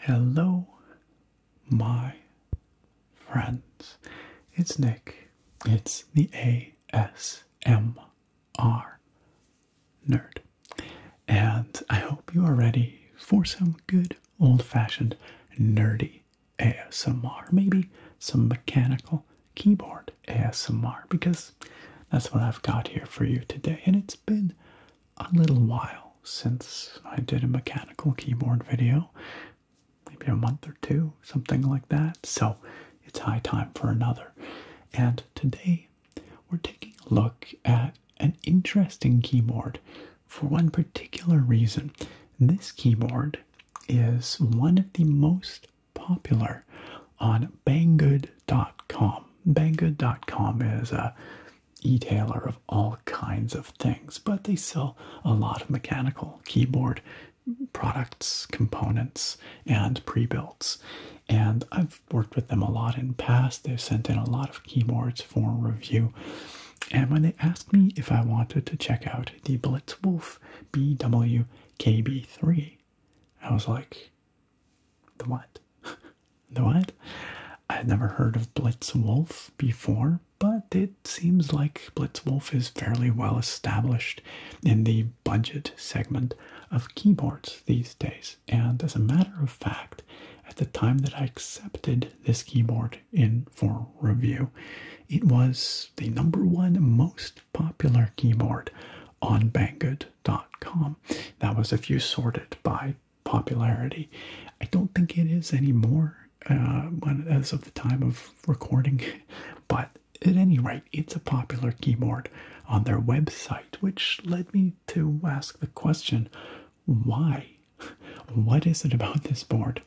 Hello, my friends. It's Nick. It's the ASMR nerd. And I hope you are ready for some good old fashioned nerdy ASMR, maybe some mechanical keyboard ASMR, because that's what I've got here for you today. And it's been a little while since I did a mechanical keyboard video, maybe a month or two, something like that. So it's high time for another. And today we're taking a look at an interesting keyboard for one particular reason. This keyboard is one of the most popular on Banggood.com. Banggood.com is a e-tailer of all kinds of things, but they sell a lot of mechanical keyboard products, components, and pre-builts. And I have worked with them a lot in past. they sent in a lot of keyboards for review. And when they asked me if I wanted to check out the Blitzwolf BWKB3, I was like, the what? the what? I had never heard of Blitzwolf before, but it seems like Blitzwolf is fairly well established in the budget segment of keyboards these days. And as a matter of fact, at the time that I accepted this keyboard in for review, it was the number one most popular keyboard on Banggood.com. That was if you sorted by popularity. I don't think it is anymore uh, as of the time of recording, but at any rate, it's a popular keyboard on their website, which led me to ask the question why? What is it about this board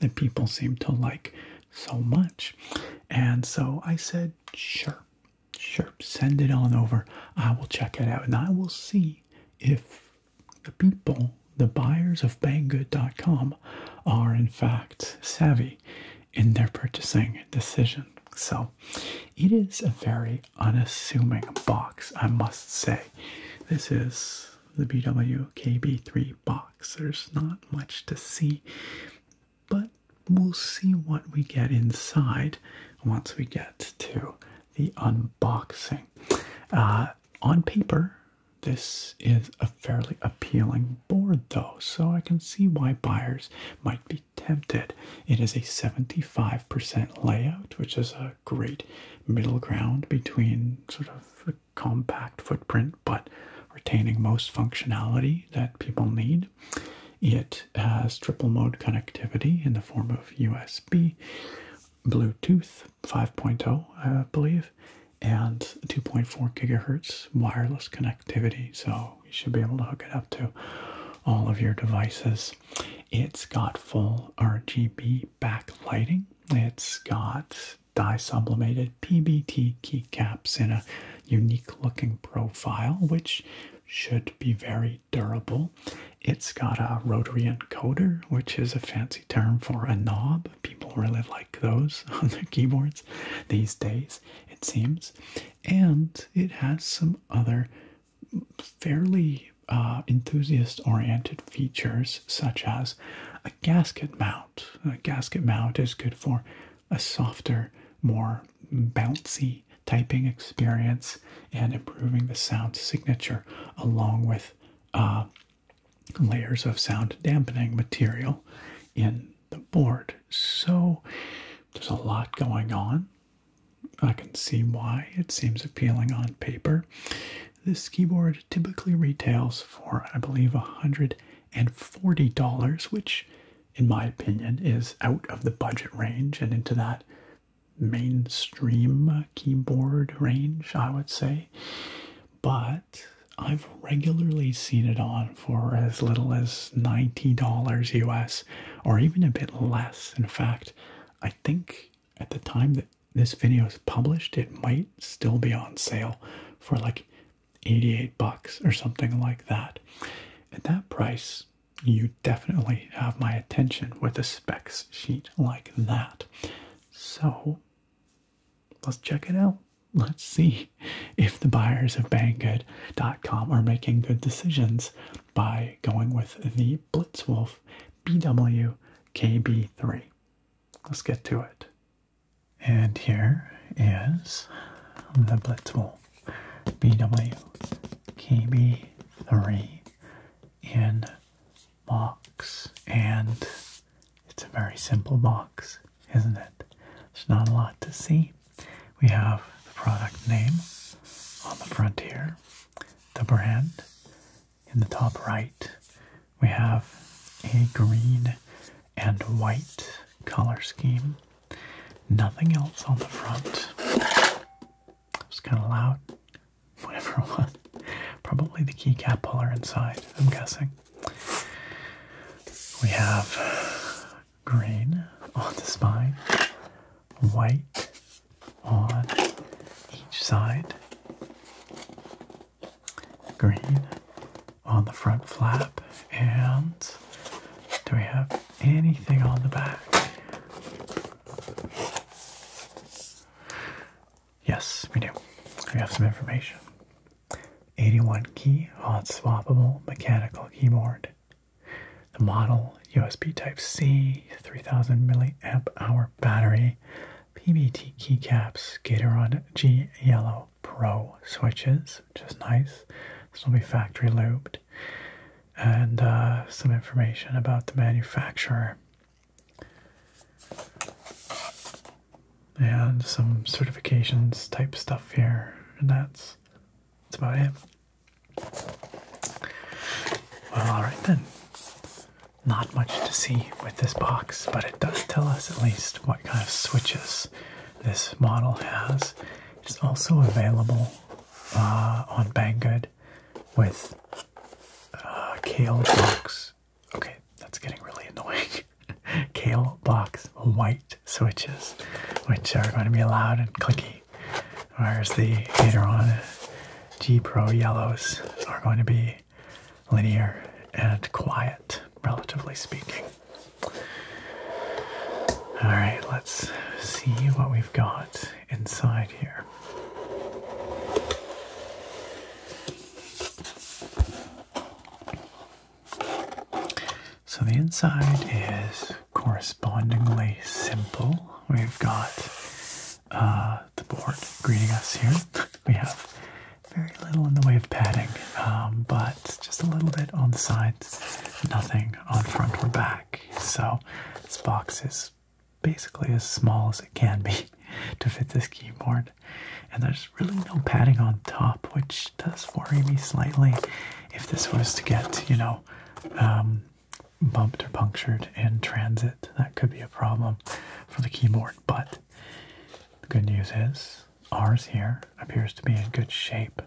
that people seem to like so much? And so I said, sure, sure, send it on over. I will check it out and I will see if the people, the buyers of banggood.com, are in fact savvy in their purchasing decision. So it is a very unassuming box, I must say. This is the BWKB3 box. There's not much to see, but we'll see what we get inside once we get to the unboxing. Uh, on paper, this is a fairly appealing board, though, so I can see why buyers might be tempted. It is a 75% layout, which is a great middle ground between sort of a compact footprint but retaining most functionality that people need. It has triple mode connectivity in the form of USB, Bluetooth 5.0, I believe, and 2.4 gigahertz wireless connectivity. So you should be able to hook it up to all of your devices it's got full RGB backlighting. It's got dye sublimated PBT keycaps in a unique looking profile, which should be very durable. It's got a rotary encoder, which is a fancy term for a knob. People really like those on their keyboards these days, it seems. And it has some other fairly uh, enthusiast oriented features such as a gasket mount. A gasket mount is good for a softer, more bouncy typing experience and improving the sound signature along with uh, layers of sound dampening material in the board. So there's a lot going on. I can see why it seems appealing on paper. This keyboard typically retails for, I believe, $140, which, in my opinion, is out of the budget range and into that mainstream keyboard range, I would say. But I've regularly seen it on for as little as $90 US or even a bit less. In fact, I think at the time that this video is published, it might still be on sale for like 88 bucks or something like that. At that price, you definitely have my attention with a specs sheet like that. So let's check it out. Let's see if the buyers of banggood.com are making good decisions by going with the Blitzwolf BWKB3. Let's get to it. And here is the Blitzwolf BWKB3 in box. And it's a very simple box, isn't it? There's not a lot to see. We have the product name on the front here the brand. In the top right, we have a green and white color scheme. Nothing else on the front. It's kind of loud. Whatever it was. Probably the keycap puller inside, I'm guessing. We have green on the spine, white on each side, green on the front flap, and do we have anything on the back? Yes, we do. We have some information. 81 key hot swappable mechanical keyboard the model, USB Type-C, 3000 milliamp hour battery, PBT keycaps, Gateron G Yellow Pro switches, which is nice. This will be factory looped. And uh, some information about the manufacturer. And some certifications type stuff here. And that's, that's about it. Well, alright then. Not much to see with this box, but it does tell us at least what kind of switches this model has. It's also available uh, on Banggood with uh, Kale Box. Okay, that's getting really annoying. Kale Box White switches, which are going to be loud and clicky whereas the Aderon G Pro yellows are going to be linear and quiet, relatively speaking. All right, let's see what we've got inside here. So the inside is correspondingly simple. We've got uh, the board greeting us here. We have very little in the way of padding, um, but just a little bit on the sides, nothing on front or back. So this box is basically as small as it can be to fit this keyboard. And there's really no padding on top, which does worry me slightly. If this was to get, you know, um, bumped or punctured in transit. That could be a problem for the keyboard, but the good news is ours here appears to be in good shape.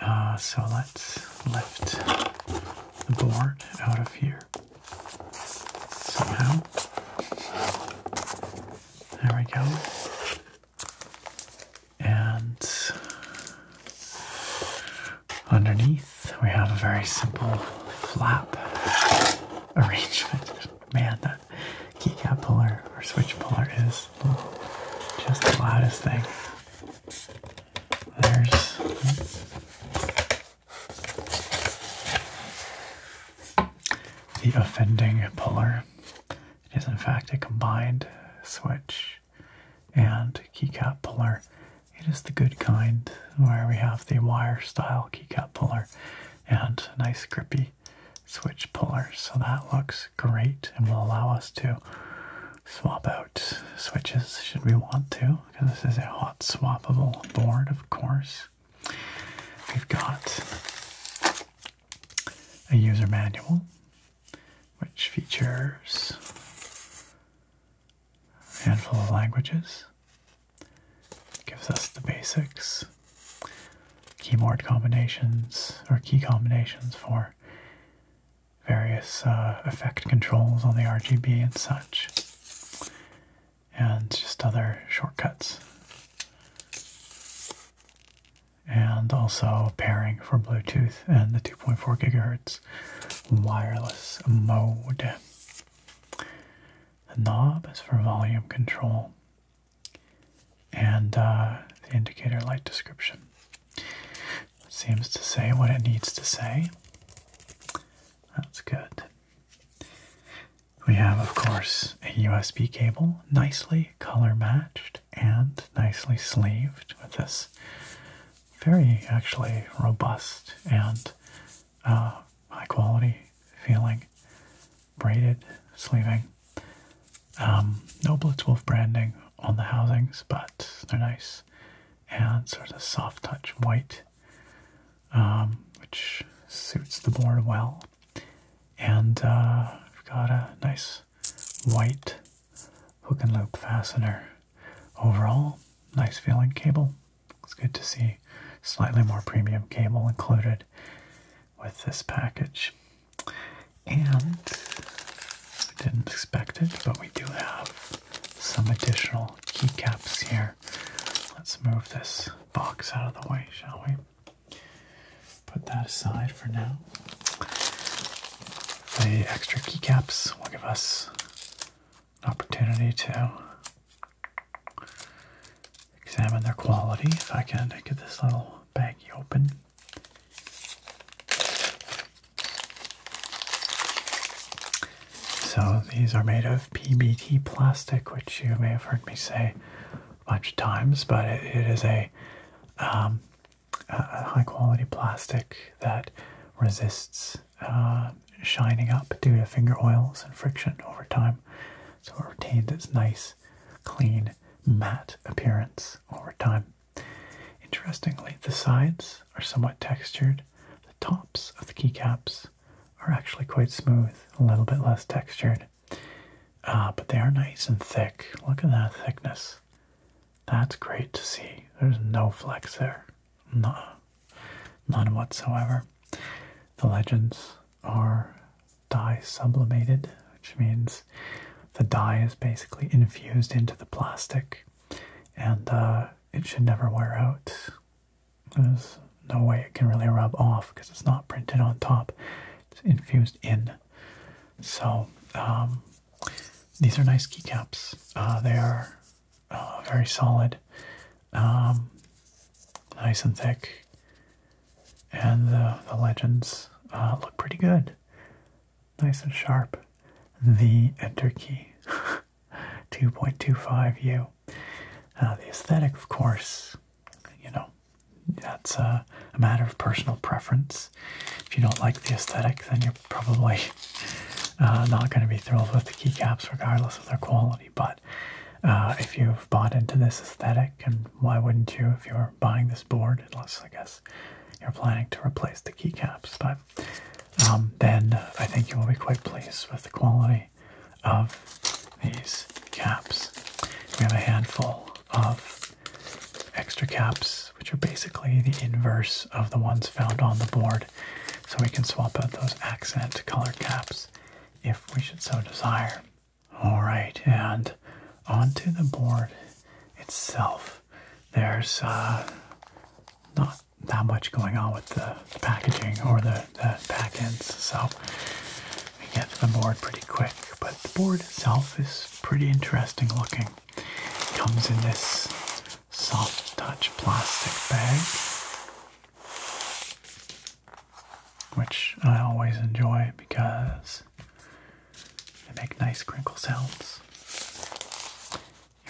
Uh, so let's lift the board out of here somehow. There we go. And underneath so we have a very simple flap arrangement. Man, that keycap puller or switch puller is just the loudest thing. There's. Hmm, the offending puller. It is, in fact, a combined switch and keycap puller it is the good kind, where we have the wire style keycap puller and a nice grippy switch puller. So that looks great and will allow us to swap out switches should we want to, because this is a hot swappable board, of course. We've got a user manual which features a handful of languages. Gives us the basics, keyboard combinations, or key combinations for various uh, effect controls on the RGB and such, and just other shortcuts. And also pairing for Bluetooth and the 2.4 gigahertz wireless mode. The knob is for volume control, and uh, the indicator light description seems to say what it needs to say. That's good. We have, of course, a USB cable, nicely color matched and nicely sleeved with this very actually robust and uh, high quality feeling. Braided sleeving. Um, no Blitzwolf branding on the housings, but they're nice. And sort of soft touch white, um, which suits the board well. And uh, we've got a nice white hook and loop fastener overall, nice feeling cable. It's good to see slightly more premium cable included with this package. And I didn't expect it, but we do have some additional keycaps here. Let's move this box out of the way, shall we? Put that aside for now. The extra keycaps will give us an opportunity to examine their quality. If I can get this little baggie open. So these are made of PBT plastic, which you may have heard me say a bunch of times, but it is um, a high quality plastic that resists uh, shining up due to finger oils and friction over time, so it retains its nice, clean, matte appearance over time. Interestingly, the sides are somewhat textured. The tops of the keycaps are actually quite smooth, a little bit less textured. Uh, but they are nice and thick. Look at that thickness. That's great to see. There's no flex there. Nuh None whatsoever. The legends are dye sublimated, which means the dye is basically infused into the plastic and uh, it should never wear out. There's no way it can really rub off because it's not printed on top, it's infused in. So, um, these are nice keycaps. Uh, they are Oh, very solid. Um, nice and thick. And the, the legends uh, look pretty good. Nice and sharp. The enter key 2.25U. Uh, the aesthetic, of course, you know, that's uh, a, matter of personal preference. If you don't like the aesthetic, then you're probably uh, not going to be thrilled with the keycaps, regardless of their quality but uh, if you've bought into this aesthetic, and why wouldn't you if you're buying this board, unless I guess you're planning to replace the keycaps, but um, then I think you will be quite pleased with the quality of these caps. We have a handful of extra caps, which are basically the inverse of the ones found on the board. So we can swap out those accent color caps if we should so desire. All right, and onto the board itself. There's uh, not that much going on with the packaging or the, the back ends, so we get to the board pretty quick. But the board itself is pretty interesting looking. It comes in this soft touch plastic bag which I always enjoy because they make nice crinkle sounds.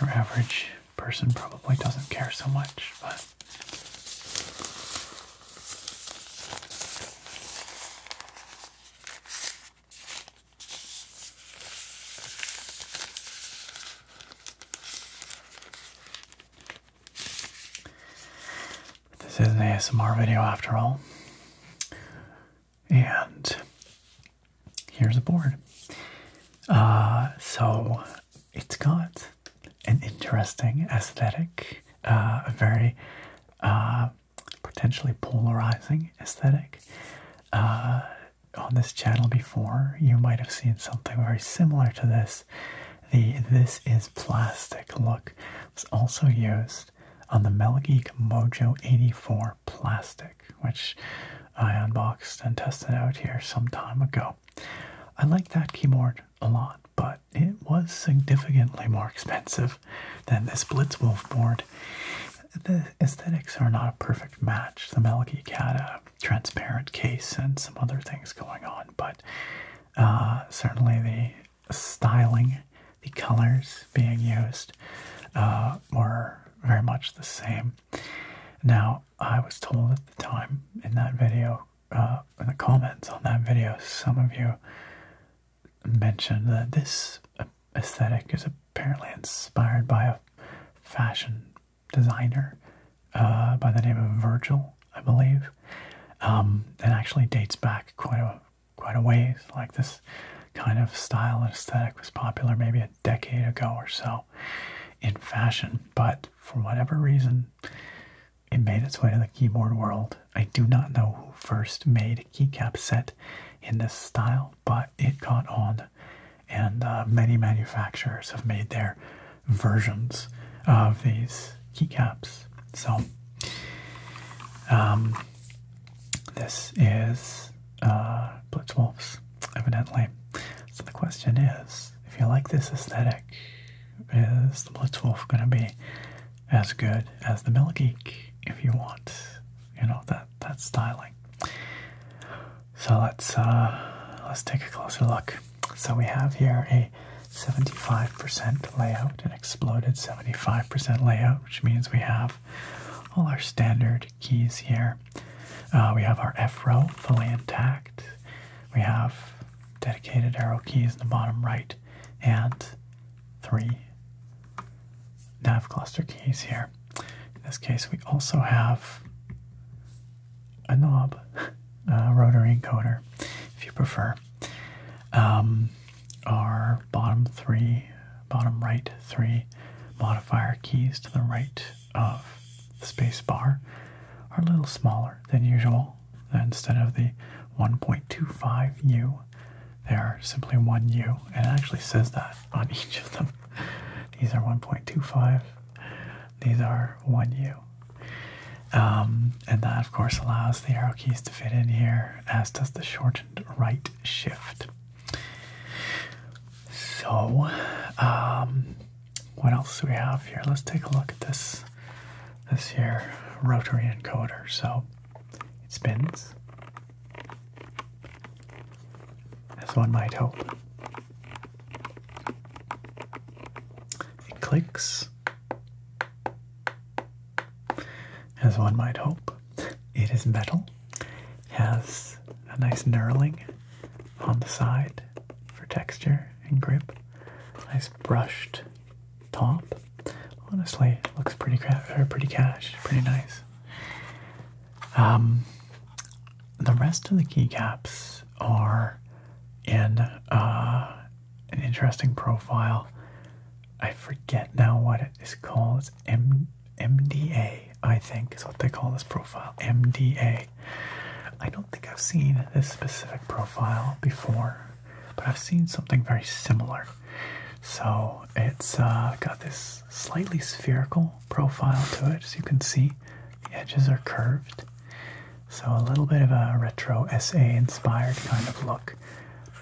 Your average person probably doesn't care so much, but this is an ASMR video after all. And here's a board. Uh, so it's got an interesting aesthetic, uh, a very uh, potentially polarizing aesthetic. on this channel before, you might have seen something very similar to this the This Is Plastic look was also used on the Melgeek Mojo 84 plastic, which I unboxed and tested out here some time ago. I like that keyboard a lot, but it was significantly more expensive than this Blitzwolf board. The aesthetics are not a perfect match. The Melgeek had a transparent case and some other things going on, but uh, certainly the styling, the colors being used uh, were very much the same. Now, I was told at the time in that video, uh, in the comments on that video, some of you mentioned that this aesthetic is apparently inspired by a fashion designer uh, by the name of Virgil, I believe. that um, actually dates back quite a quite a ways. Like this kind of style and aesthetic was popular maybe a decade ago or so in fashion, but for whatever reason, it made its way to the keyboard world. I do not know who first made a keycap set in this style, but it caught on, and uh, many manufacturers have made their versions of these keycaps. So um, this is uh, Blitzwolf's, evidently. So the question is, if you like this aesthetic, is the Blitzwolf going to be as good as the Milgeek if you want, you know, that, that styling? So let's, uh, let's take a closer look. So we have here a 75% layout, an exploded 75% layout, which means we have all our standard keys here. Uh, we have our F row fully intact. We have dedicated arrow keys in the bottom right and three nav cluster keys here. In this case, we also have a knob, rotary encoder, if you prefer. Um, our bottom three, bottom right three modifier keys to the right of the space bar are a little smaller than usual. Instead of the 1.25U, they are simply 1U. And it actually says that on each of them. These are 1.25, these are 1U. Um, and that, of course, allows the arrow keys to fit in here, as does the shortened right shift. So, um, what else do we have here? Let's take a look at this. This here rotary encoder. So it spins, as one might hope. It clicks. As one might hope, it is metal. Has a nice knurling on the side for texture and grip. Nice brushed top. Honestly, looks pretty or pretty cash, pretty nice. Um, the rest of the keycaps Chiefs are in uh, an interesting profile. I forget now what it is called. It's M MDA, I think, is what they call this profile. MDA. I don't think I've seen this specific profile before, but I've seen something very similar. So it's uh, got this slightly spherical profile to it, as you can see. The edges are curved, so a little bit of a retro SA inspired kind of look.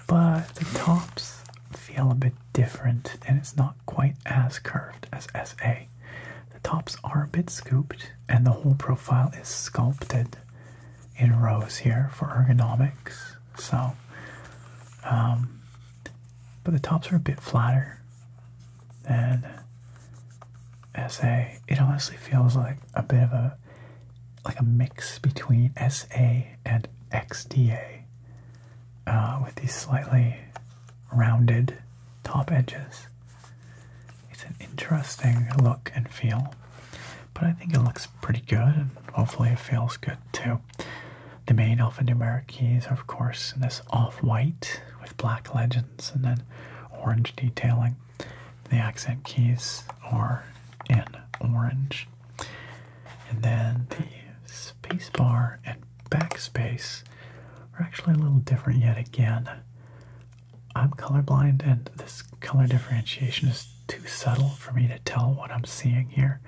But the tops feel a bit different and it's not quite as curved as SA. The tops are a bit scooped and the whole profile is sculpted in rows here for ergonomics. So, um, but the tops are a bit flatter and. SA. It honestly feels like a bit of a like a mix between SA and XDA, uh, with these slightly rounded top edges. It's an interesting look and feel, but I think it looks pretty good, and hopefully it feels good too. The main alphanumeric keys are, of course, in this off-white with black legends and then orange detailing. The accent keys are in orange. And then the spacebar and backspace are actually a little different yet again. I'm colorblind and this color differentiation is too subtle for me to tell what I'm seeing here.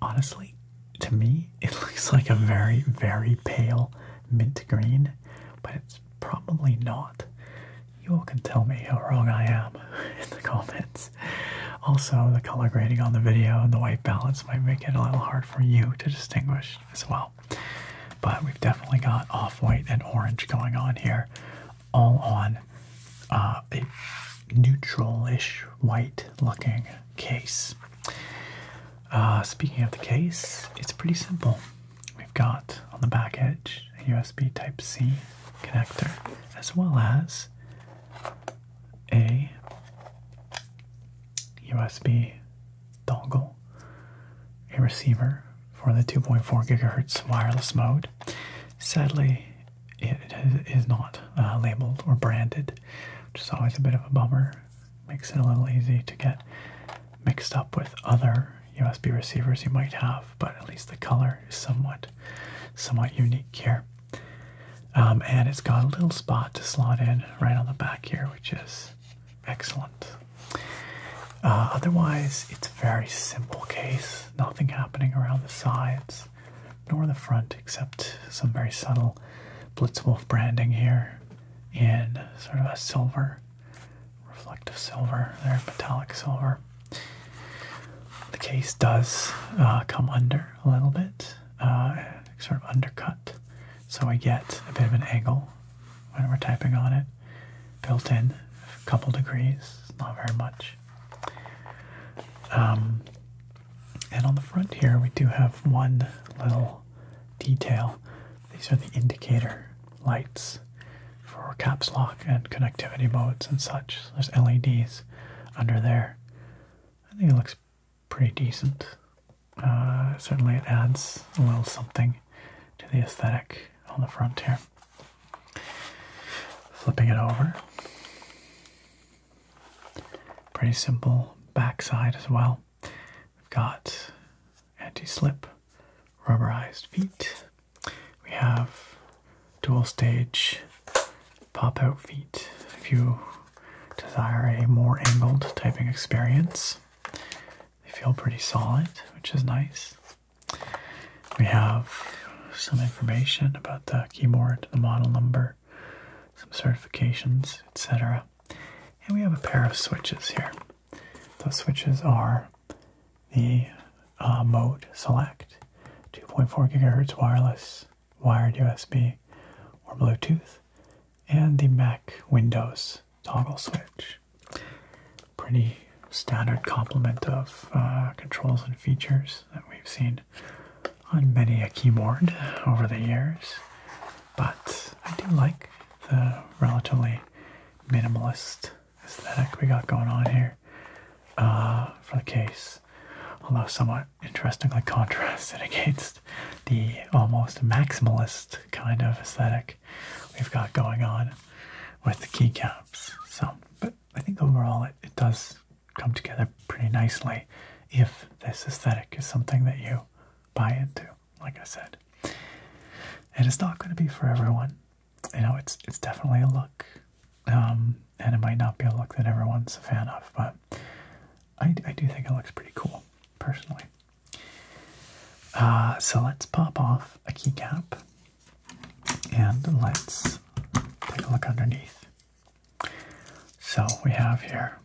Honestly, to me, it looks like a very, very pale mint green, but it's probably not. You all can tell me how wrong I am in the comments. Also, the color grading on the video and the white balance might make it a little hard for you to distinguish as well. But we've definitely got off-white and orange going on here, all on uh, a neutral-ish white-looking case. Uh, speaking of the case, it's pretty simple. We've got on the back edge a USB Type C connector as well as a USB dongle, a receiver for the 2.4 gigahertz wireless mode. Sadly, it is not uh, labeled or branded, which is always a bit of a bummer. Makes it a little easy to get mixed up with other USB receivers you might have, but at least the color is somewhat, somewhat unique here. Um, and it's got a little spot to slot in right on the back here, which is excellent. Uh, otherwise, it's a very simple case. Nothing happening around the sides nor the front, except some very subtle Blitzwolf branding here in sort of a silver reflective silver there, metallic silver. The case does uh, come under a little bit, uh, sort of undercut, so we get a bit of an angle when we're typing on it. Built in, a couple degrees, not very much. Um, and on the front here, we do have one little detail these are the indicator lights for caps lock and connectivity modes and such. There's LEDs under there. I think it looks pretty decent. Uh, certainly, it adds a little something to the aesthetic on the front here. Flipping it over. Pretty simple backside as well. We've got anti-slip rubberized feet. We have dual stage pop-out feet if you desire a more angled typing experience. They feel pretty solid, which is nice. We have some information about the keyboard, the model number, some certifications, etc. And we have a pair of switches here. Those switches are the uh, mode select, 2.4 gigahertz wireless, wired USB, or Bluetooth, and the Mac Windows toggle switch. Pretty standard complement of uh, controls and features that we've seen on many a keyboard over the years, but I do like the relatively minimalist aesthetic we got going on here uh, for the case, although somewhat interestingly contrasted against the almost maximalist kind of aesthetic we've got going on with the keycaps. So, but I think overall it, it does come together pretty nicely if this aesthetic is something that you buy into, like I said. it's not going to be for everyone you know, it's it's definitely a look, um, and it might not be a look that everyone's a fan of, but I, I do think it looks pretty cool, personally. Uh, so let's pop off a keycap, and let's take a look underneath. So we have here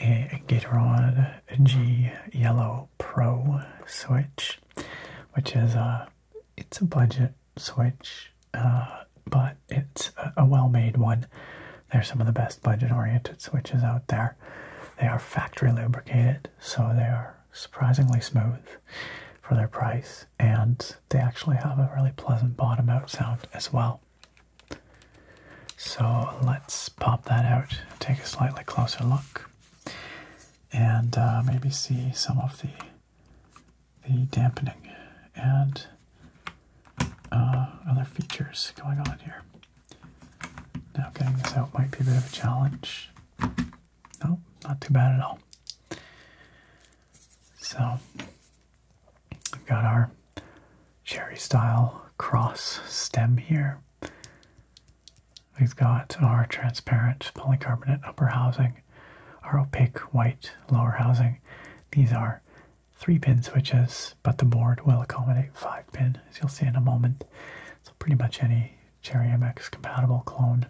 a Gatorade G Yellow Pro Switch, which is a it's a budget Switch, uh, but it's a, well-made one. They're some of the best budget-oriented switches out there. They are factory lubricated, so they are surprisingly smooth for their price, and they actually have a really pleasant bottom-out sound as well. So let's pop that out take a slightly closer look and uh, maybe see some of the the dampening and uh, other features going on here. Now getting this out might be a bit of a challenge. No, not too bad at all. So we've got our cherry style cross stem here. We've got our transparent polycarbonate upper housing, our opaque white lower housing. These are three pin switches, but the board will accommodate five pin, as you'll see in a moment. So pretty much any Cherry MX compatible clone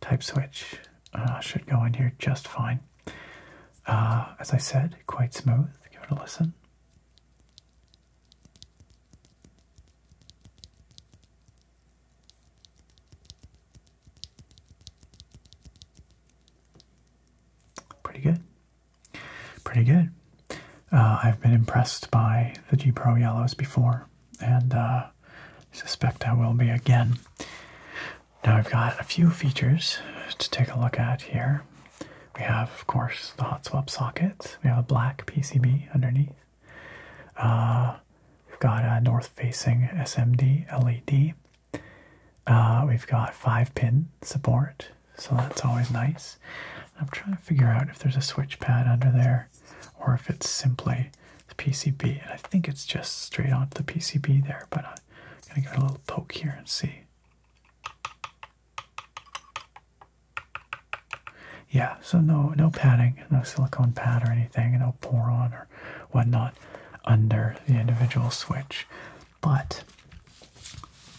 type switch uh, should go in here just fine. Uh, as I said, quite smooth. Give it a listen. Pretty good. Pretty good. Uh, I've been impressed by the G Pro Yellows before, and uh, suspect I will be again. Now I've got a few features to take a look at here. We have, of course, the hot swap socket. We have a black PCB underneath. Uh, we've got a north facing SMD LED. Uh, we've got five pin support, so that's always nice. I'm trying to figure out if there's a switch pad under there or if it's simply the PCB. And I think it's just straight onto the PCB there, but I'm gonna give it a little poke here and see. Yeah, so no no padding, no silicone pad or anything, no pour on or whatnot under the individual switch. But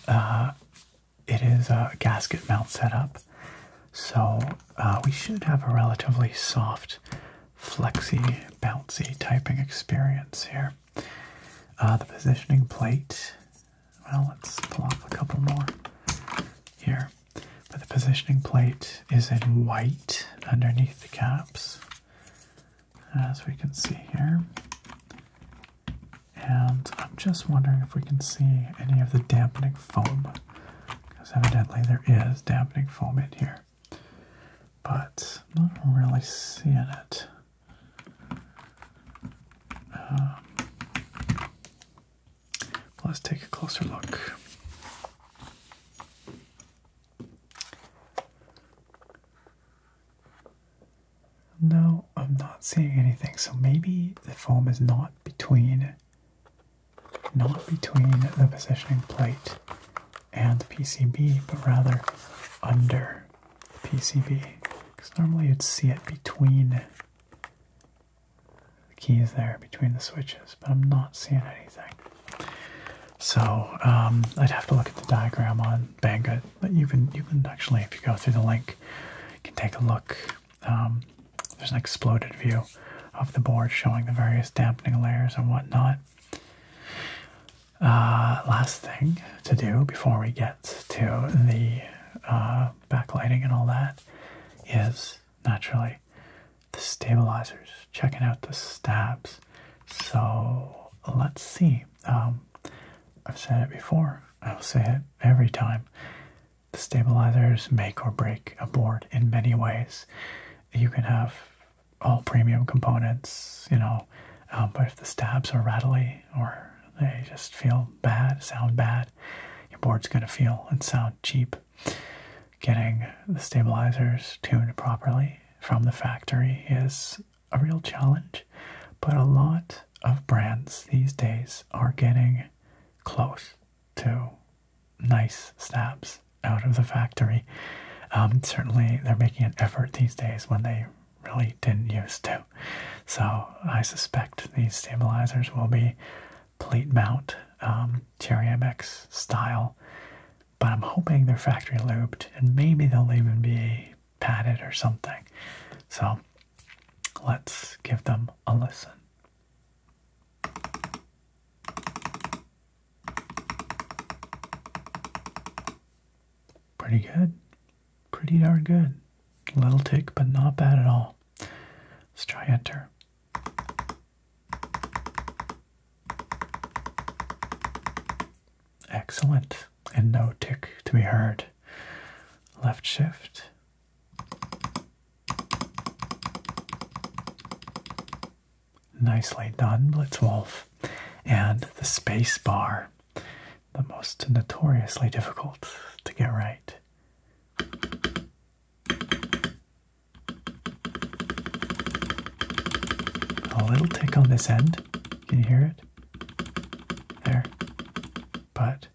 uh, it is a gasket mount setup, so uh, we should have a relatively soft, flexy, bouncy typing experience here. Uh, the positioning plate well, let's pull off a couple more here. But the positioning plate is in white underneath the caps, as we can see here. And I'm just wondering if we can see any of the dampening foam, because evidently there is dampening foam in here, but I'm not really seeing it. Um, Let's take a closer look. No, I'm not seeing anything. So maybe the foam is not between not between the positioning plate and the PCB, but rather under the PCB. Because normally you'd see it between the keys there between the switches, but I'm not seeing anything. So um, I'd have to look at the diagram on Banggood, but you can you can actually, if you go through the link, you can take a look. Um, there's an exploded view of the board showing the various dampening layers and whatnot. Uh, last thing to do before we get to the uh, backlighting and all that is naturally. The stabilizers, checking out the stabs. So let's see. Um, I've said it before, I'll say it every time. The stabilizers make or break a board in many ways. You can have all premium components, you know, um, but if the stabs are rattly or they just feel bad, sound bad, your board's going to feel and sound cheap. Getting the stabilizers tuned properly from the factory is a real challenge, but a lot of brands these days are getting close to nice stabs out of the factory. Um, certainly, they're making an effort these days when they really didn't used to. So, I suspect these stabilizers will be plate mount um, Cherry MX style, but I'm hoping they're factory looped and maybe they'll even be padded or something. So let's give them a listen. Pretty good. Pretty darn good. Little tick, but not bad at all. Let's try enter. Excellent. And no tick to be heard. Left shift. Nicely done, Blitzwolf. And the space bar, the most notoriously difficult to get right. A little tick on this end. Can you hear it? There. But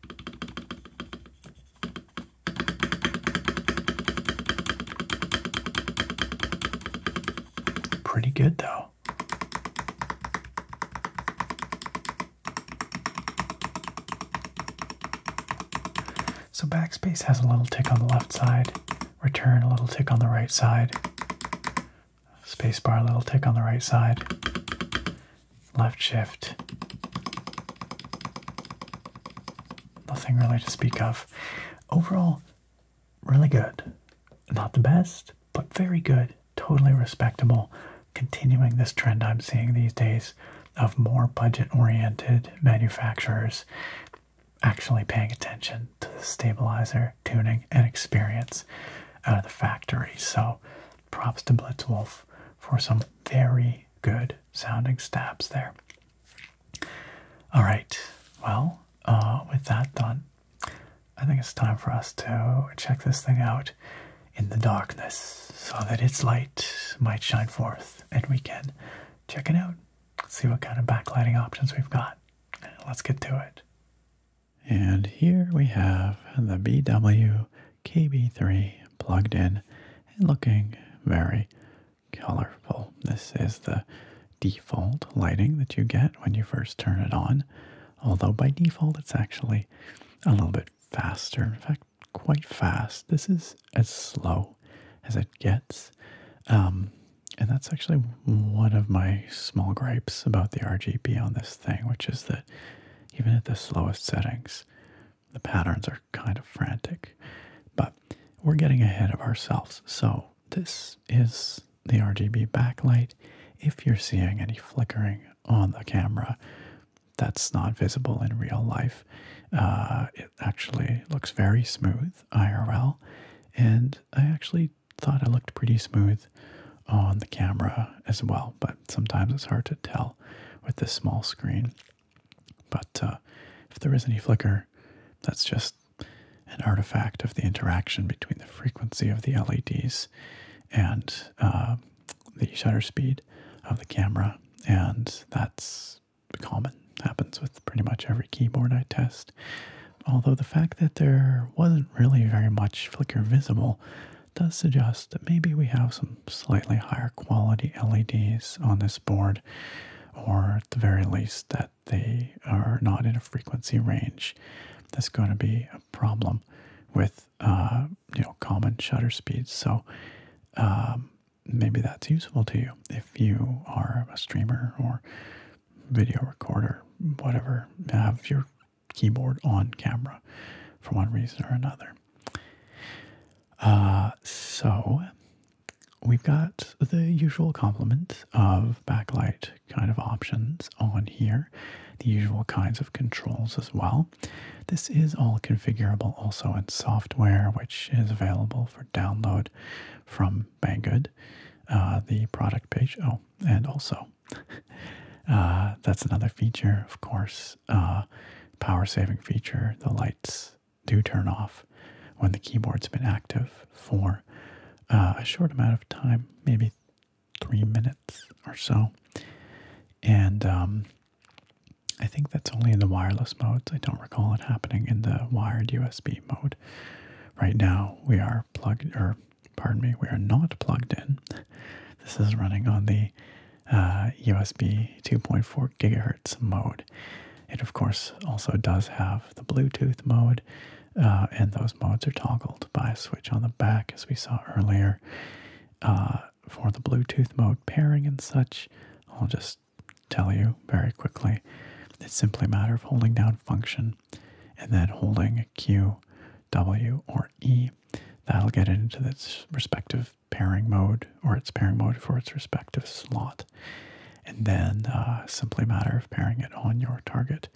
pretty good though. So backspace has a little tick on the left side, return a little tick on the right side, spacebar a little tick on the right side, left shift. Nothing really to speak of. Overall, really good. Not the best, but very good. Totally respectable. Continuing this trend I'm seeing these days of more budget-oriented manufacturers actually paying attention to the stabilizer tuning and experience out of the factory. So props to Blitzwolf for some very good sounding stabs there. All right, well, uh, with that done, I think it's time for us to check this thing out in the darkness so that its light might shine forth and we can check it out, see what kind of backlighting options we've got. Let's get to it. And here we have the bwkb 3 plugged in and looking very colorful. This is the default lighting that you get when you first turn it on, although by default it's actually a little bit faster. In fact, quite fast. This is as slow as it gets. Um, and that's actually one of my small gripes about the RGB on this thing, which is that even at the slowest settings, the patterns are kind of frantic. But we're getting ahead of ourselves. So this is the RGB backlight. If you're seeing any flickering on the camera, that's not visible in real life. Uh, it actually looks very smooth IRL, and I actually thought it looked pretty smooth on the camera as well, but sometimes it's hard to tell with this small screen. But uh, if there is any flicker, that's just an artifact of the interaction between the frequency of the LEDs and uh, the shutter speed of the camera, and that's common, happens with pretty much every keyboard I test. Although the fact that there wasn't really very much flicker visible does suggest that maybe we have some slightly higher quality LEDs on this board, or at the very least, that they are not in a frequency range that's going to be a problem with uh, you know common shutter speeds. So um, maybe that's useful to you if you are a streamer or video recorder, whatever, have your keyboard on camera for one reason or another. Uh, so we've got the usual complement of backlight kind of options on here, the usual kinds of controls as well. This is all configurable also in software, which is available for download from Banggood, uh, the product page. Oh, and also, uh, that's another feature, of course, uh, power saving feature. The lights do turn off when the keyboard's been active for a short amount of time, maybe three minutes or so. And um, I think that's only in the wireless modes. I don't recall it happening in the wired USB mode. Right now we are plugged, or pardon me, we are not plugged in. This is running on the USB uh, 2.4 gigahertz mode. It of course also does have the Bluetooth mode, uh, and those modes are toggled by a switch on the back, as we saw earlier. Uh, for the Bluetooth mode pairing and such, I'll just tell you very quickly. It's simply a matter of holding down function and then holding Q, W, or E. That'll get it into its respective pairing mode or its pairing mode for its respective slot. And then uh, simply a matter of pairing it on your target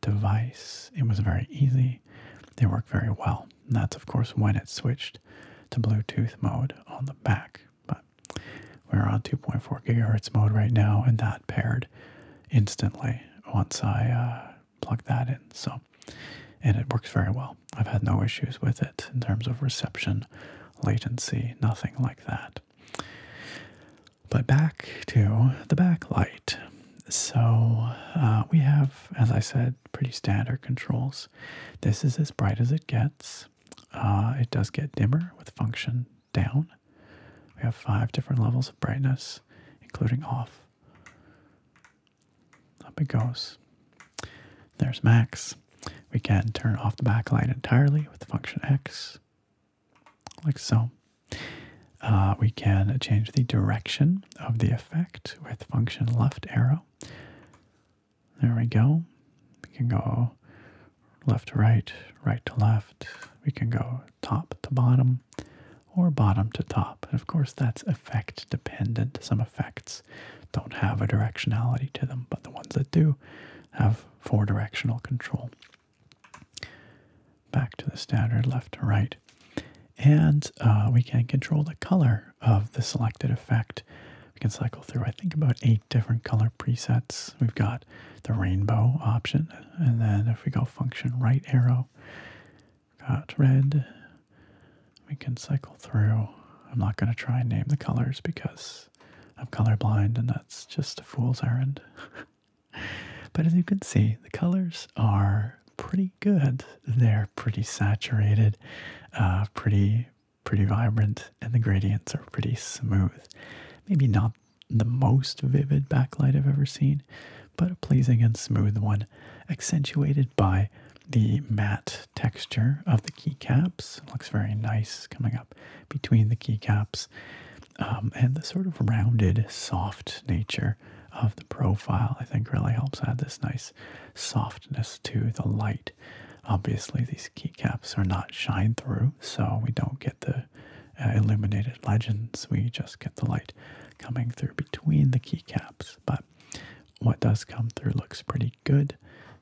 device. It was very easy. They work very well. that's, of course, when it's switched to Bluetooth mode on the back. But we're on 2.4 gigahertz mode right now, and that paired instantly once I uh, plugged that in. So, and it works very well. I've had no issues with it in terms of reception, latency, nothing like that. But back to the backlight. So uh, we have, as I said, pretty standard controls. This is as bright as it gets. Uh, it does get dimmer with function down. We have five different levels of brightness, including off. Up it goes. There's max. We can turn off the backlight entirely with function X, like so. Uh, we can change the direction of the effect with function left arrow. There we go. We can go left to right, right to left. We can go top to bottom or bottom to top. of course, that's effect dependent. Some effects don't have a directionality to them, but the ones that do have four directional control. Back to the standard left to right. And uh, we can control the color of the selected effect. We can cycle through, I think, about eight different color presets. We've got the rainbow option, and then if we go function right arrow, got red. We can cycle through. I'm not going to try and name the colors because I'm colorblind and that's just a fool's errand. but as you can see, the colors are pretty good. They're pretty saturated, uh, pretty pretty vibrant and the gradients are pretty smooth. Maybe not the most vivid backlight I've ever seen, but a pleasing and smooth one, accentuated by the matte texture of the keycaps. It looks very nice coming up between the keycaps. Um, and the sort of rounded, soft nature of the profile, I think, really helps add this nice softness to the light. Obviously, these these keycaps are not shine through, so we don't get the uh, illuminated legends. We just get the light coming through between the keycaps. But what does come through looks pretty good.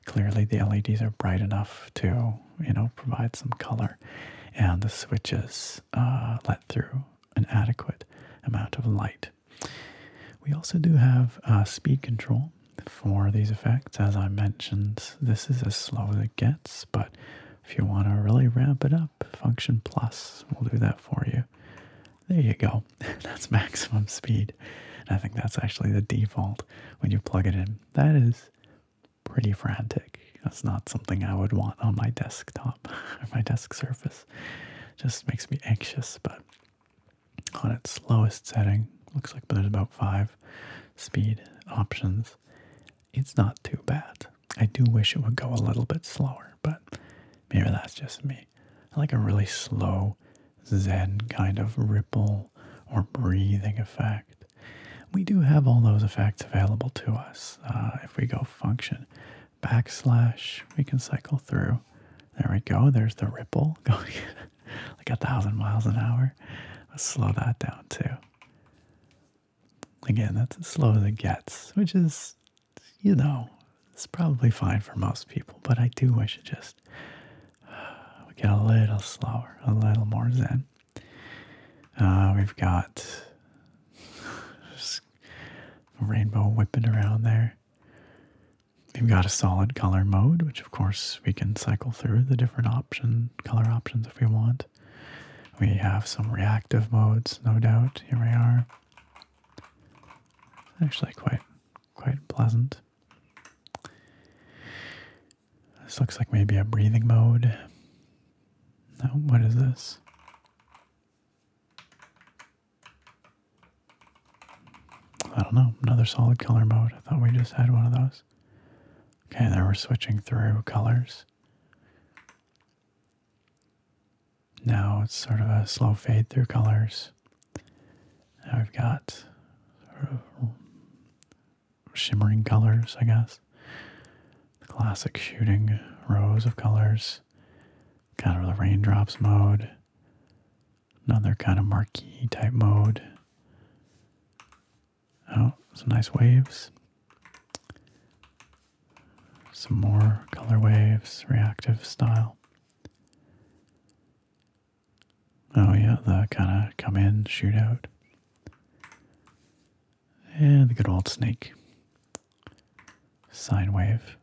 Clearly, the LEDs are bright enough to, you know, provide some color, and the switches uh, let through an adequate amount of light. We also do have uh, speed control, for these effects. As I mentioned, this is as slow as it gets, but if you want to really ramp it up, Function Plus will do that for you. There you go. that's maximum speed. I think that's actually the default when you plug it in. That is pretty frantic. That's not something I would want on my desktop or my desk surface. Just makes me anxious, but on its lowest setting, looks like there's about five speed options. It's not too bad. I do wish it would go a little bit slower, but maybe that's just me. I like a really slow Zen kind of ripple or breathing effect. We do have all those effects available to us. Uh, if we go function backslash, we can cycle through. There we go. There's the ripple going. like a thousand miles an hour. Let's slow that down too. Again, that's as slow as it gets, which is, you know, it's probably fine for most people, but I do wish it just uh, get a little slower, a little more zen. Uh, we've got rainbow whipping around there. We've got a solid color mode, which of course we can cycle through the different option color options if we want. We have some reactive modes, no doubt. Here we are. actually quite quite pleasant. This looks like maybe a breathing mode. No, what is this? I don't know. Another solid color mode. I thought we just had one of those. Okay, there we're switching through colors. Now it's sort of a slow fade through colors. Now we've got sort of shimmering colors, I guess. classic shooting rows of colors. Kind of the raindrops mode. Another kind of marquee type mode. Oh, some nice waves. Some more color waves, reactive style. Oh yeah, the kind of come in, shoot out. And the good old snake. Sine wave.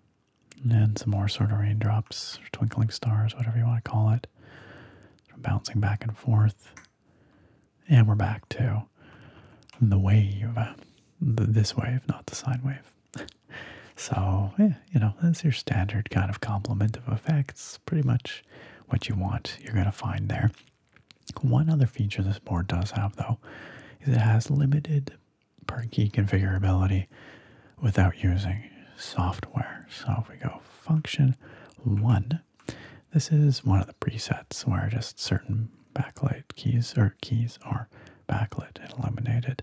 And some more sort of raindrops, twinkling stars, whatever you want to call it bouncing back and forth. And we're back to the wave, uh, this wave, not the sine wave. so, yeah, you know, that's your standard kind of complement of effects. Pretty much what you want, you're going to find there. One other feature this board does have, though, is it has limited per key configurability without using software. So if we go function, one. This is one of the presets where just certain backlight keys or keys are backlit and illuminated.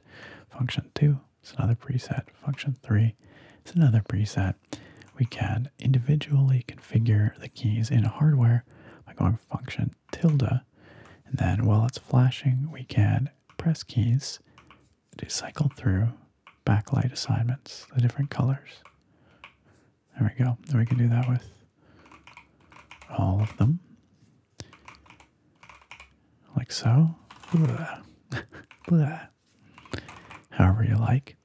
Function two it's another preset. Function three it's another preset. We can individually configure the keys in hardware by going function tilde. And then while it's flashing, we can press keys to cycle through backlight assignments, the different colors. There we go. We can do that with all of them. Like so. However you like.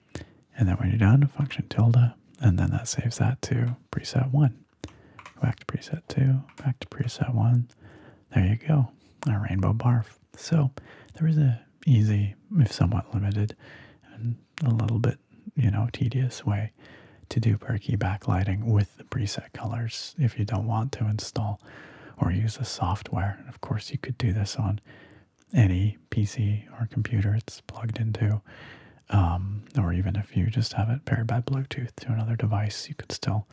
And then when you're done, function tilde, and then that saves that to preset one. Back to preset two, back to preset one. There you go. A rainbow barf. So there is a easy, if somewhat limited, and a little bit, you know, tedious way to do perky backlighting with the preset colors if you don't want to install or use the software. of course, you could do this on any PC or computer it's plugged into. Um, or even if you just have it paired by Bluetooth to another device, you could still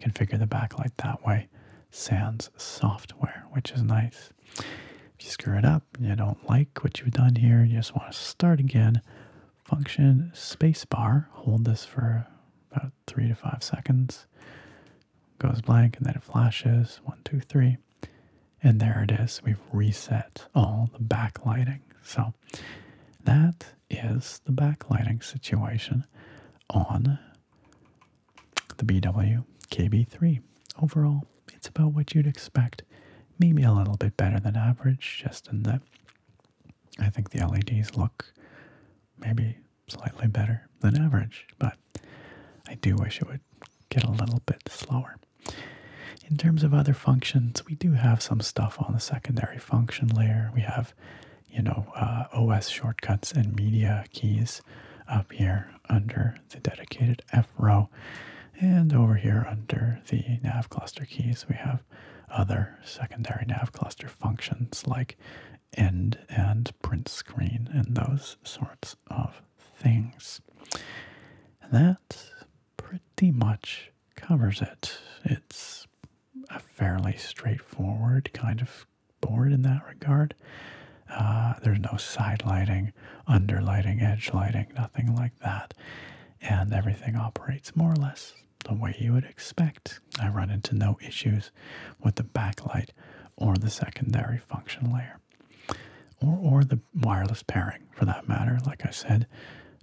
configure the backlight that way. Sans software, which is nice. If you screw it up, you don't like what you've done here, you just want to start again, function spacebar, hold this for about three to five seconds, goes blank, and then it flashes one, two, three. And there it is. We've reset all the backlighting. So that is the backlighting situation on the BW KB3. Overall, it's about what you'd expect. Maybe a little bit better than average, just in that I think the LEDs look maybe slightly better than average, but I do wish it would get a little bit slower. In terms of other functions, we do have some stuff on the secondary function layer. We have, you know, uh, OS shortcuts and media keys up here under the dedicated F row. And over here under the nav cluster keys, we have other secondary nav cluster functions like end and print screen and those sorts of things. that pretty much covers it. It's a fairly straightforward kind of board in that regard. Uh, there's no side lighting, under lighting, edge lighting, nothing like that. And everything operates more or less the way you would expect. I run into no issues with the backlight or the secondary function layer or, or the wireless pairing for that matter. Like I said,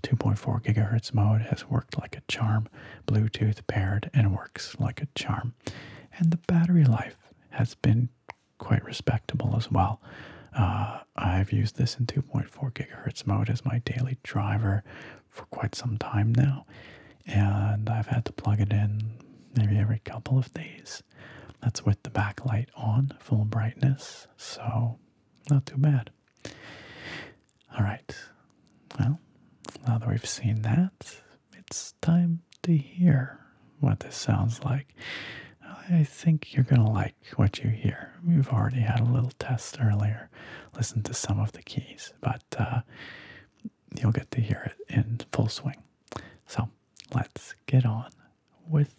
2.4 gigahertz mode has worked like a charm, Bluetooth paired and works like a charm. And the battery life has been quite respectable as well. Uh, I've used this in 2.4 gigahertz mode as my daily driver for quite some time now, and I've had to plug it in maybe every couple of days. That's with the backlight on, full brightness, so not too bad. All right, well, now that we've seen that, it's time to hear what this sounds like. I think you're going to like what you hear. We've already had a little test earlier, listen to some of the keys, but uh, you'll get to hear it in full swing. So let's get on with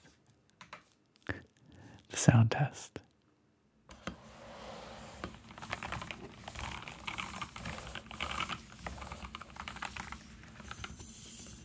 the sound test.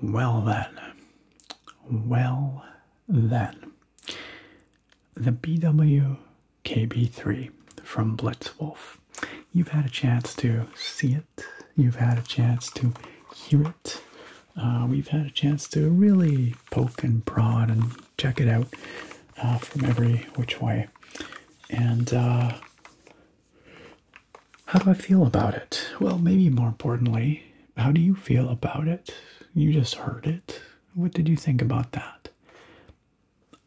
Well, then, well, then, the BWKB3 from Blitzwolf. You've had a chance to see it, you've had a chance to hear it. Uh, we've had a chance to really poke and prod and check it out uh, from every which way. And uh, how do I feel about it? Well, maybe more importantly, how do you feel about it? You just heard it. What did you think about that?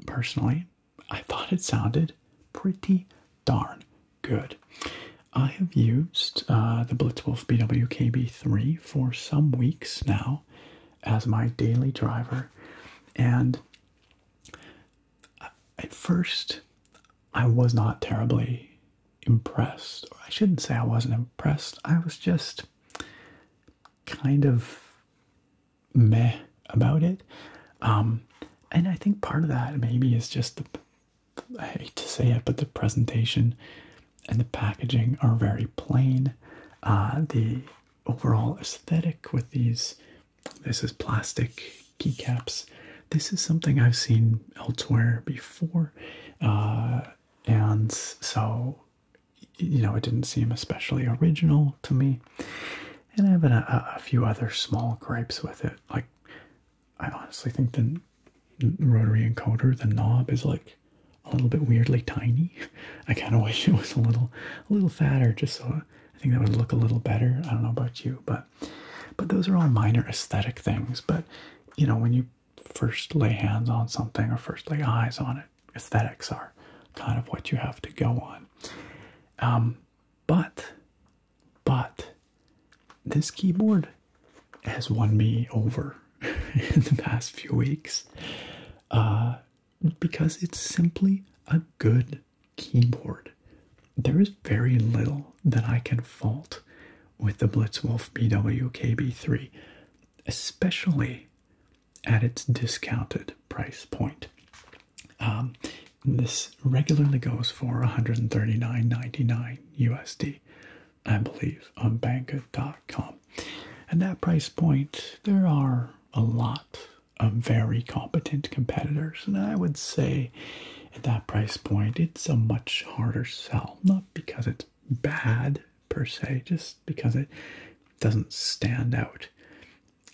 Personally, I thought it sounded pretty darn good. I have used uh, the Blitzwolf BWKB3 for some weeks now as my daily driver. And at first, I was not terribly impressed. I shouldn't say I wasn't impressed, I was just kind of meh about it. Um, and I think part of that maybe is just I hate to say it, but the presentation and the packaging are very plain. Uh, the overall aesthetic with these, this is plastic keycaps. This is something I've seen elsewhere before, uh, and so you know it didn't seem especially original to me. And I have a few other small gripes with it. Like I honestly think the rotary encoder, the knob is like a little bit weirdly tiny. I kind of wish it was a little, a little fatter, just so I think that would look a little better. I don't know about you, but, but those are all minor aesthetic things. But you know, when you first lay hands on something or first lay eyes on it, aesthetics are kind of what you have to go on. Um, but, but this keyboard has won me over in the past few weeks uh, because it's simply a good keyboard. There is very little that I can fault with the Blitzwolf BWKB3, especially at its discounted price point. Um, this regularly goes for $139.99 USD, I believe, on Banggood.com. At that price point, there are a lot of very competent competitors, and I would say at that price point, it's a much harder sell. Not because it's bad per se, just because it doesn't stand out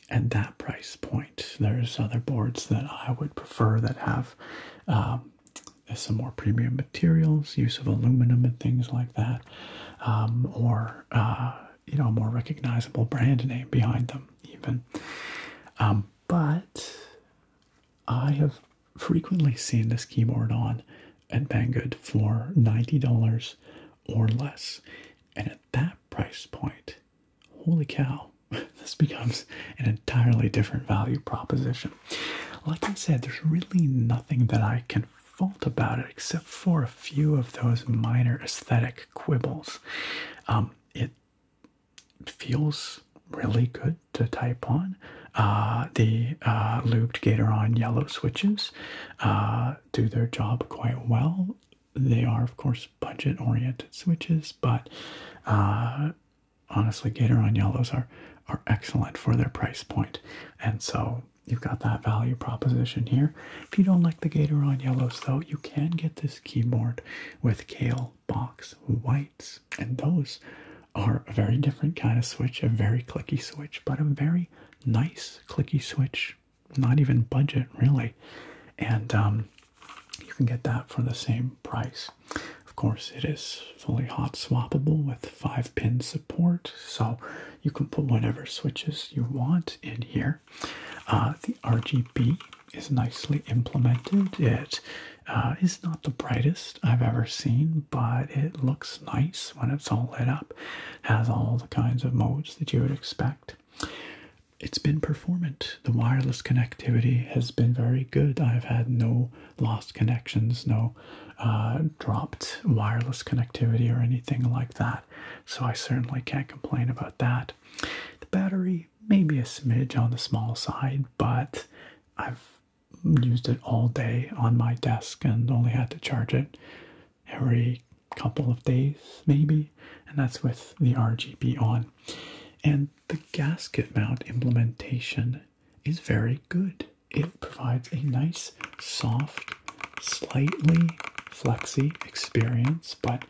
at that price point. There's other boards that I would prefer that have um, some more premium materials, use of aluminum and things like that. Um, or uh, you know a more recognizable brand name behind them even um, but i have frequently seen this keyboard on at banggood for $90 or less and at that price point holy cow this becomes an entirely different value proposition like i said there's really nothing that i can fault about it except for a few of those minor aesthetic quibbles. Um, it feels really good to type on. Uh, the uh, looped Gatoron yellow switches uh, do their job quite well. They are, of course, budget oriented switches, but uh, honestly, Gatoron yellows are, are excellent for their price And so you've got that value proposition here. If you don't like the Gatoron yellows though, you can get this keyboard with kale box whites. And those are a very different kind of switch, a very clicky switch, but a very nice clicky switch, not even budget really. And um, you can get that for the same price. Of course, it is fully hot swappable with five pins. Port, so you can put whatever switches you want in here. Uh, the RGB is nicely implemented. It uh, is not the brightest I've ever seen, but it looks nice when it's all lit up. Has all the kinds of modes that you would expect. It's been performant. The wireless connectivity has been very good. I've had no lost connections, no uh, dropped wireless connectivity or anything like that. So I certainly can't complain about that. The battery maybe a smidge on the small side, but I've used it all day on my desk and only had to charge it every couple of days, maybe. And that's with the RGB on. And the gasket mount implementation is very good it provides a nice, soft, slightly flexy experience, but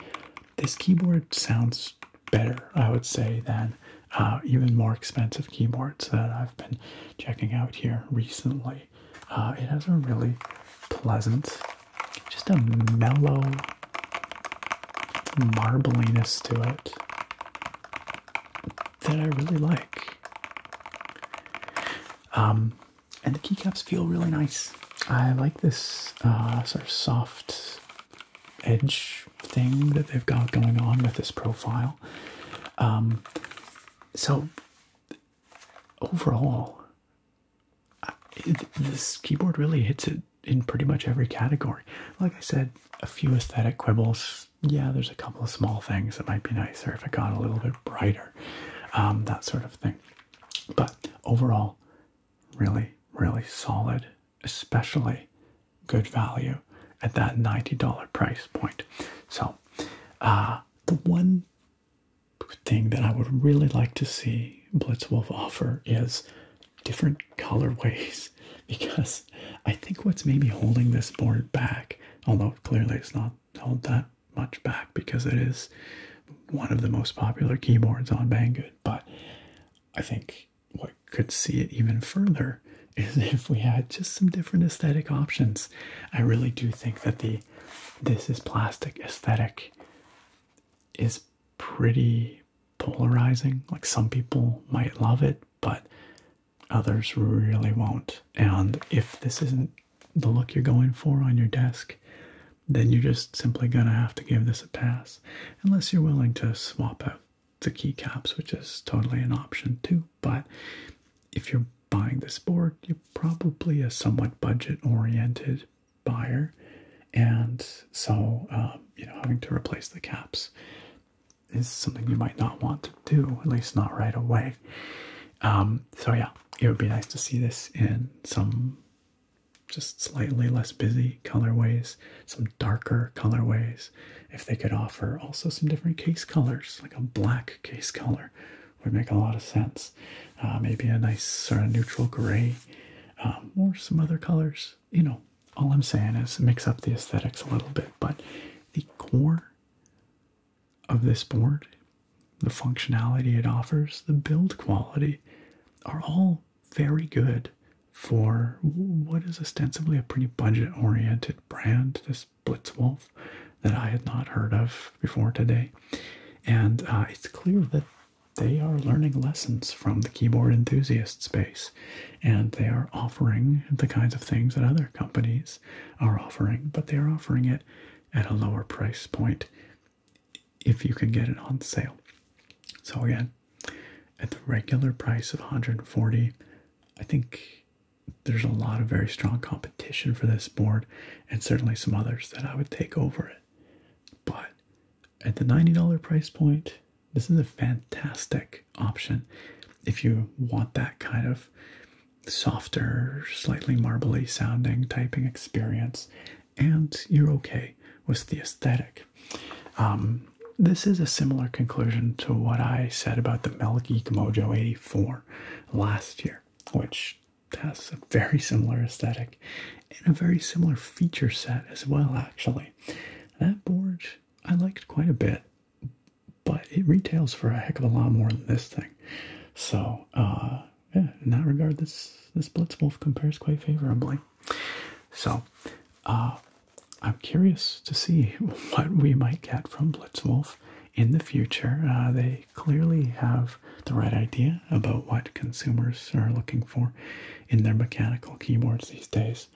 this keyboard sounds better, I would say, than uh, even more expensive keyboards that I've been checking out here recently. Uh, it has a really pleasant, just a mellow marbliness to it that I really like. Um, and the keycaps feel really nice. I like this uh, sort of soft edge thing that they've got going on with this profile. Um, so overall, this keyboard really hits it in pretty much every category. Like I said, a few aesthetic quibbles. Yeah, there's a couple of small things that might be nicer if it got a little bit brighter um, that sort of thing. But overall, really, really solid, especially good value at that $90 price point. So, uh, the one thing that I would really like to see Blitzwolf offer is different colorways because I think what's maybe holding this board back, although clearly it's not hold that much back because it is one of the most popular keyboards on Banggood. But I think what could see it even further is if we had just some different aesthetic options. I really do think that the this is plastic aesthetic is pretty polarizing. Like some people might love it, but others really won't. And if this isn't the look you're going for on your desk, then you're just simply going to have to give this a pass, unless you're willing to swap out the keycaps, which is totally an option too. But if you're buying this board, you're probably a somewhat budget oriented buyer, and so um, you know, having to replace the caps is something you might not want to do, at least not right away. Um, so yeah, it would be nice to see this in some just slightly less busy colorways, some darker colorways. If they could offer also some different case colors, like a black case color, would make a lot of sense. Uh, maybe a nice sort of neutral gray, um, or some other colors. You know, all I'm saying is mix up the aesthetics a little bit, but the core of this board, the functionality it offers, the build quality are all very good for what is ostensibly a pretty budget oriented brand, this Blitzwolf that I had not heard of before today. And uh, it's clear that they are learning lessons from the keyboard enthusiast space and they are offering the kinds of things that other companies are offering, but they are offering it at a lower price point if you can get it on sale. So again, at the regular price of 140, I think there's a lot of very strong competition for this board and certainly some others that I would take over it. But at the 90 price point, this is a fantastic option if you want that kind of softer, slightly marbly sounding typing experience, and you're okay with the aesthetic. Um, this is a similar conclusion to what I said about the Mel Geek Mojo 84 last year, which has a very similar aesthetic and a very similar feature set as well, actually. That board I liked quite a bit, but it retails for a heck of a lot more than this thing. So, uh, yeah, in that regard, this this Blitzwolf compares quite favorably. So, uh, I'm curious to see what we might get from Blitzwolf in the future. Uh, they clearly have the right idea about what consumers are looking for in their mechanical keyboards these days.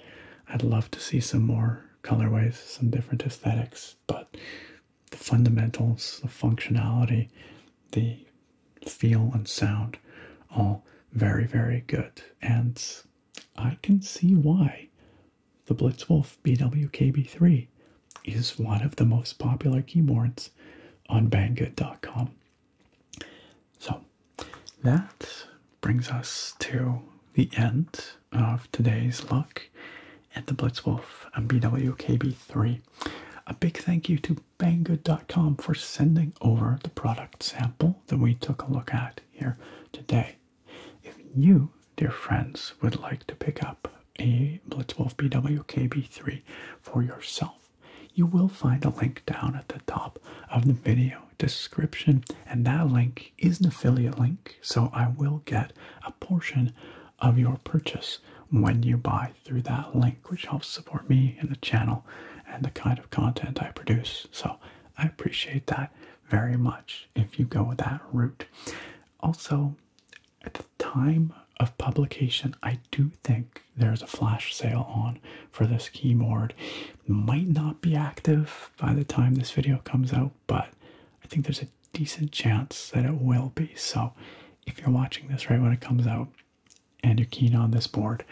I'd love to see some more colorways, some different aesthetics, but the fundamentals, the functionality, the feel and sound, all very, very good. And I can see why the Blitzwolf BWKB3 is one of the most popular keyboards on Banggood.com. So that brings us to the end of today's look at the Blitzwolf on BWKB3. A big thank you to Banggood.com for sending over the product sample that we took a look at here today. If you, dear friends, would like to pick up a Blitzwolf BWKB3 for yourself, you will find a link down at the top of the video description, and that link is an affiliate link, so I will get a portion of your purchase when you buy through that link, which helps support me and the channel and the kind of content I produce. So I appreciate that very much if you go that route. Also, at the time of publication, I do think there's a flash sale on for this keyboard. Might not be active by the time this video comes out, but I think there's a decent chance that it will be. So if you're watching this right when it comes out and you're keen on this board,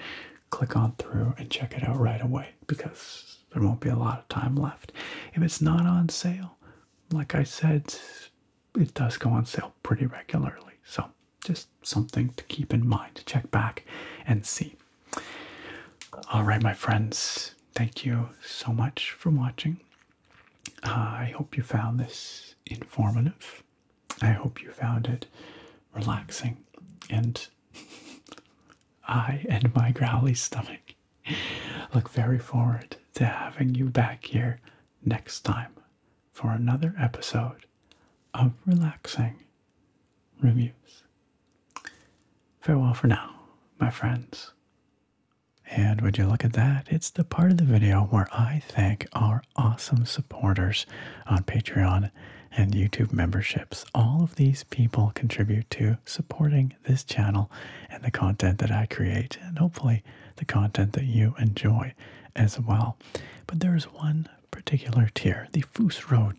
click on through and check it out right away because there won't be a lot of time left. If it's not on sale, like I said, it does go on sale pretty regularly. So just something to keep in mind to check back and see. All right, my friends, thank you so much for watching. Uh, I hope you found this informative. I hope you found it relaxing. And I and my growly stomach look very forward to having you back here next time for another episode of Relaxing Reviews. Farewell for now, my friends. And would you look at that? It's the part of the video where I thank our awesome supporters on Patreon and YouTube memberships. All of these people contribute to supporting this channel and the content that I create, and hopefully the content that you enjoy as well. But there is one particular tier, the Fusro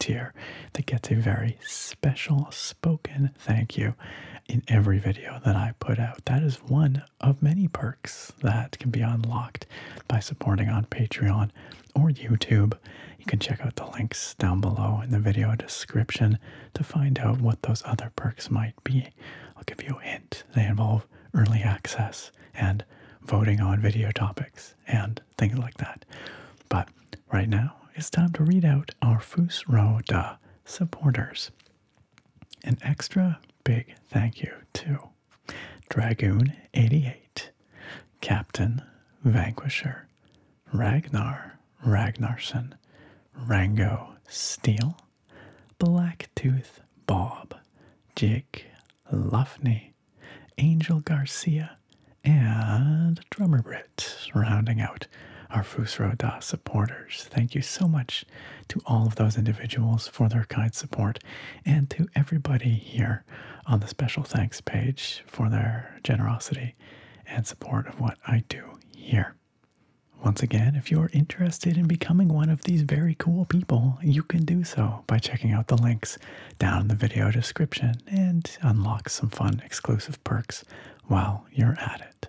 tier, that gets a very special spoken thank you in every video that I put out. That is one of many perks that can be unlocked by supporting on Patreon or YouTube. You can check out the links down below in the video description to find out what those other perks might be. I'll give you a hint. They involve early access and voting on video topics and things like that. But right now, it's time to read out our Fusro Da supporters. An extra big thank you to Dragoon88, Captain Vanquisher, Ragnar Ragnarsson, Rango Steel, Blacktooth Bob, Jake Lufney, Angel Garcia, and Drummer Brit, rounding out our Fusro Da supporters. Thank you so much to all of those individuals for their kind support and to everybody here on the special thanks page for their generosity and support of what I do here. Once again, if you're interested in becoming one of these very cool people, you can do so by checking out the links down in the video description and unlock some fun exclusive perks while you're at it.